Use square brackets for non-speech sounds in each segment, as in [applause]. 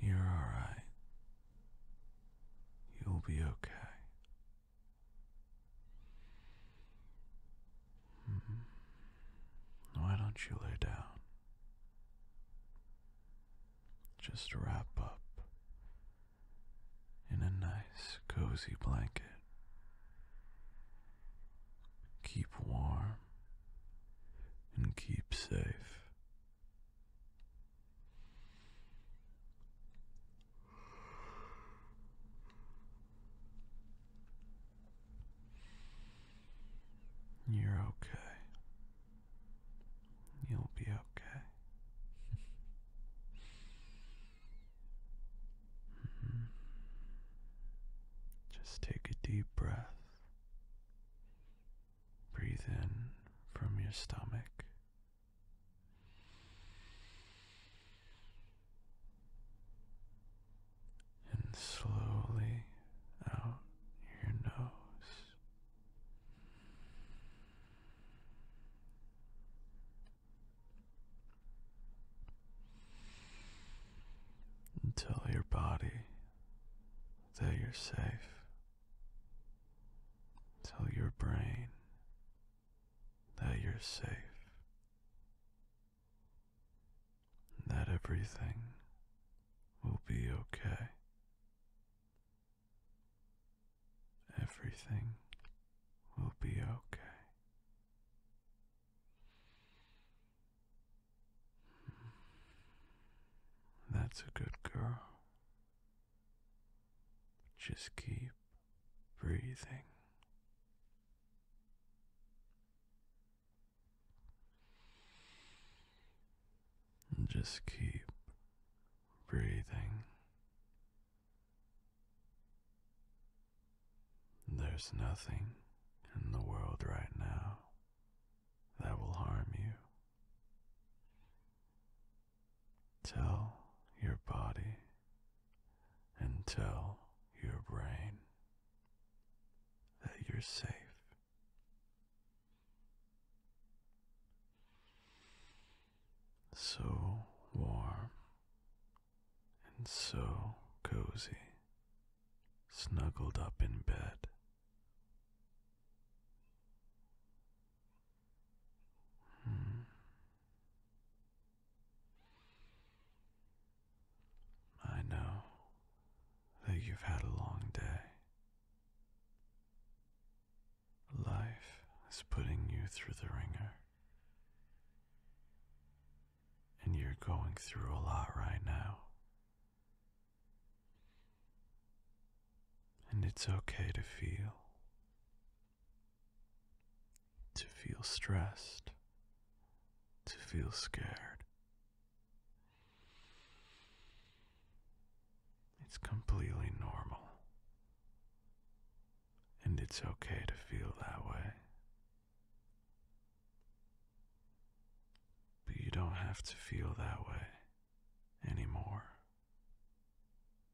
You're all right. You'll be okay. Hmm. Why don't you lay down? Just wrap up in a nice, cozy blanket. Keep warm and keep safe. You're okay. You'll be okay. [laughs] Just take a deep breath. Breathe in from your stomach. And slowly out your nose. Until your body that you're safe Tell your brain that you're safe, that everything will be okay. Everything will be okay. That's a good girl. Just keep breathing. just keep breathing. There's nothing in the world right now that will harm you. Tell your body and tell your brain that you're safe. So warm and so cozy, snuggled up in bed Hmm. I know that you've had a long day. Life is putting you through the ringer. And you're going through a lot right now. And it's okay to feel, to feel stressed, to feel scared. It's completely normal. And it's okay to feel that way. But you don't have to feel that way anymore.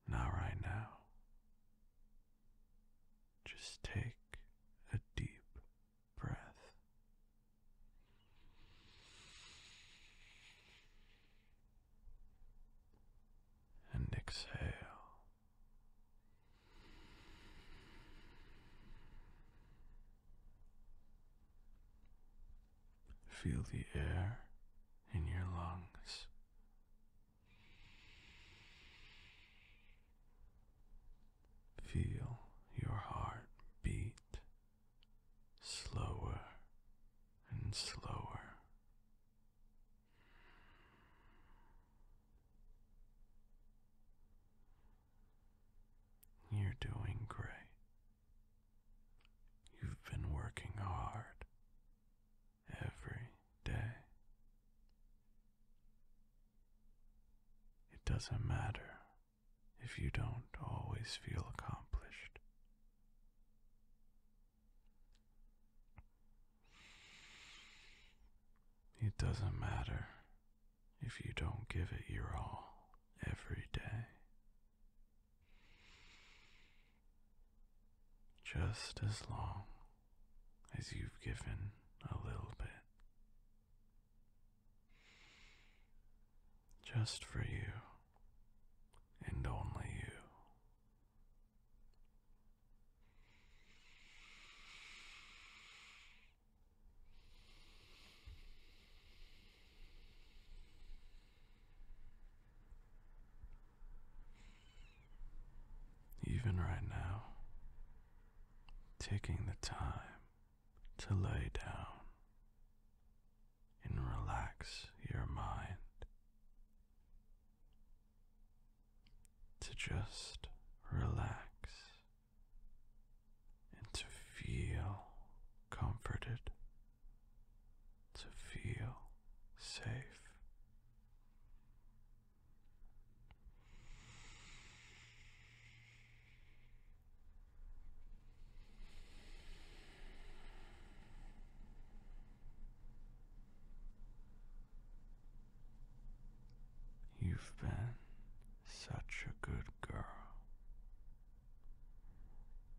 Not right now. Just take a deep breath. And exhale. Feel the air in your lungs. Feel your heart beat slower and slower. You're doing great. You've been working hard every day. It doesn't matter if you don't always feel accomplished. It doesn't matter if you don't give it your all every day. Just as long as you've given a little bit. Just for you and only you. Even right now, taking the time to lay down and relax your mind to just relax and to feel comforted, to feel safe. You've been such a good girl.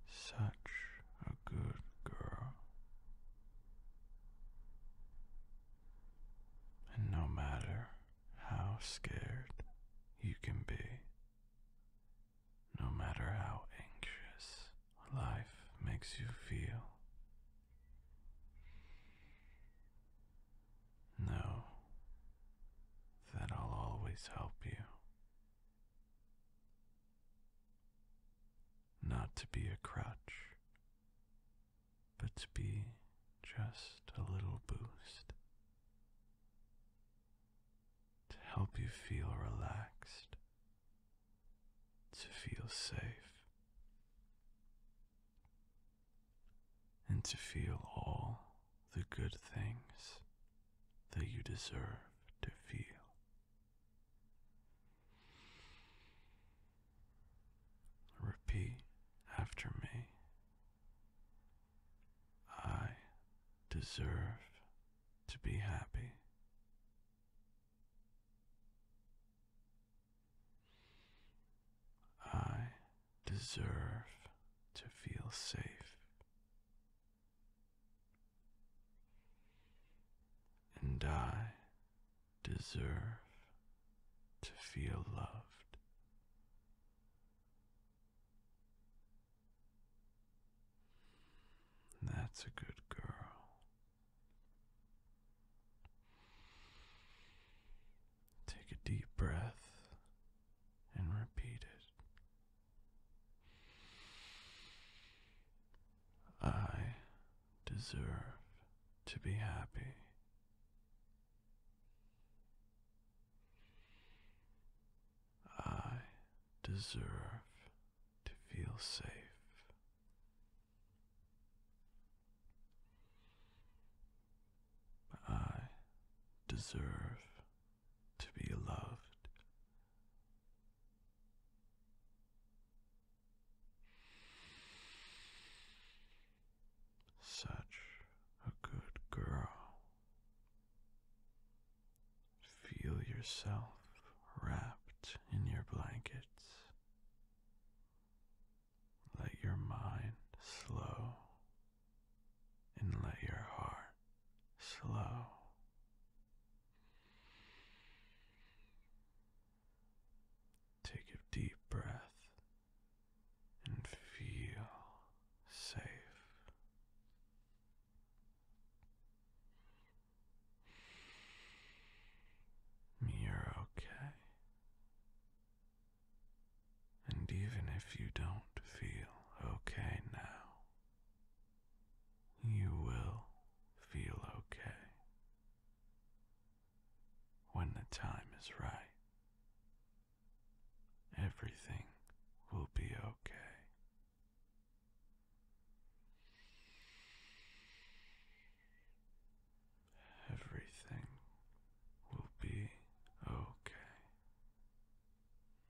Such a good girl. And no matter how scared you can be, no matter how anxious life makes you feel, know that I'll always help you. Not to be a crutch, but to be just a little boost to help you feel relaxed, to feel safe, and to feel all the good things that you deserve to feel. Repeat after me. I deserve to be happy. I deserve to feel safe and I deserve to feel loved. That's a good girl. Take a deep breath and repeat it. I deserve to be happy. I deserve to feel safe. I deserve to be loved. Such a good girl. Feel yourself wrapped in your blankets. Let your mind slow and let your heart slow. Take a deep breath and feel safe. You're okay. And even if you don't feel okay now, you will feel okay when the time is right. Everything will be okay. Everything will be okay.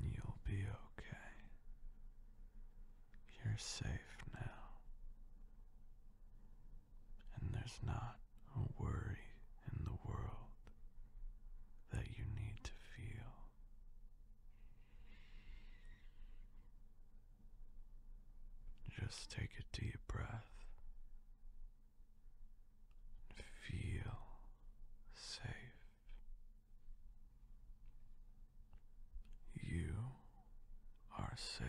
You'll be okay. You're safe now. And there's not a worry in the world that you need to feel. Just take a deep breath. Feel safe. You are safe.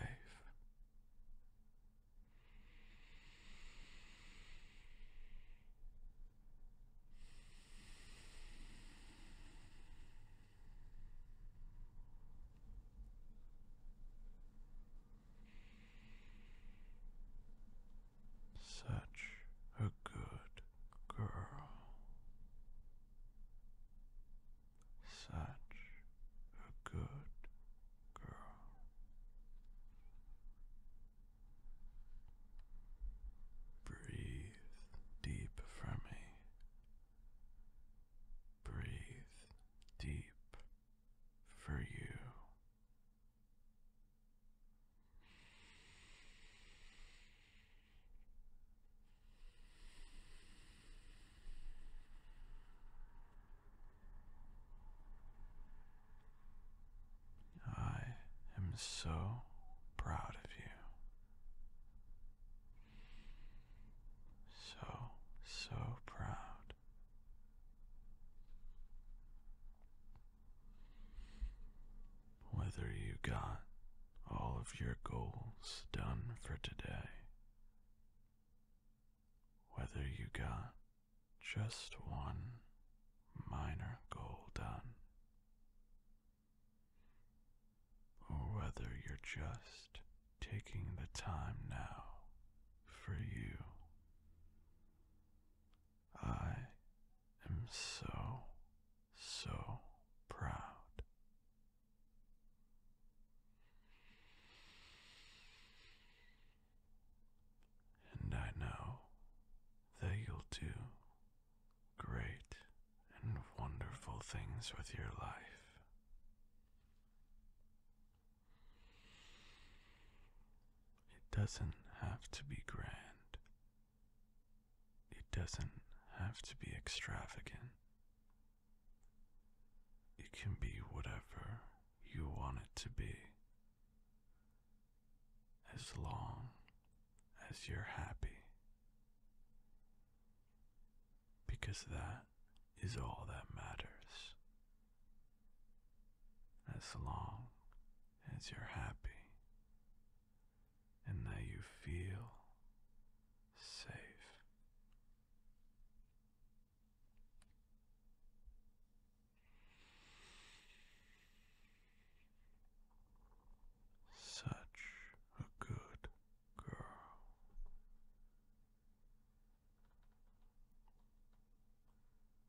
Such a good girl. Such a good girl. Breathe deep for me. Breathe deep for you. I am so proud of you. So, so proud. Whether you got all of your goals done for today, whether you got just one minor goal done, or whether you're just taking the time now for you. I am so, so proud. And I know that you'll do great and wonderful things with your life. It doesn't have to be grand. It doesn't have to be extravagant. It can be whatever you want it to be as long as you're happy. Because that is all that matters. As long as you're happy and that you feel safe. Such a good girl.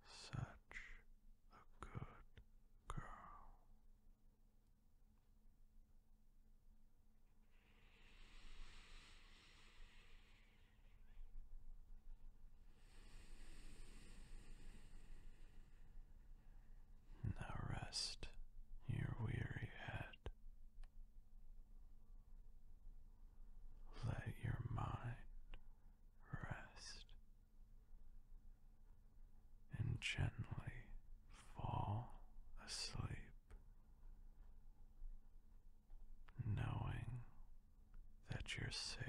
Such a good girl. Now rest your weary head. Let your mind rest and gently fall asleep, knowing that you're safe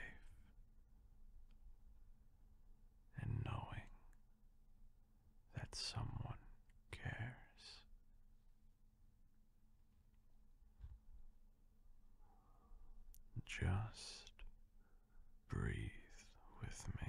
and knowing that someone cares. Just breathe with me.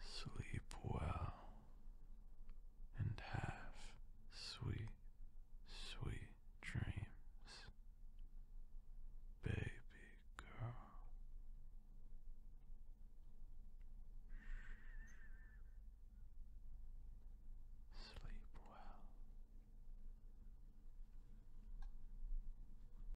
Sleep well and have sweet, sweet dreams, baby girl. Sleep well.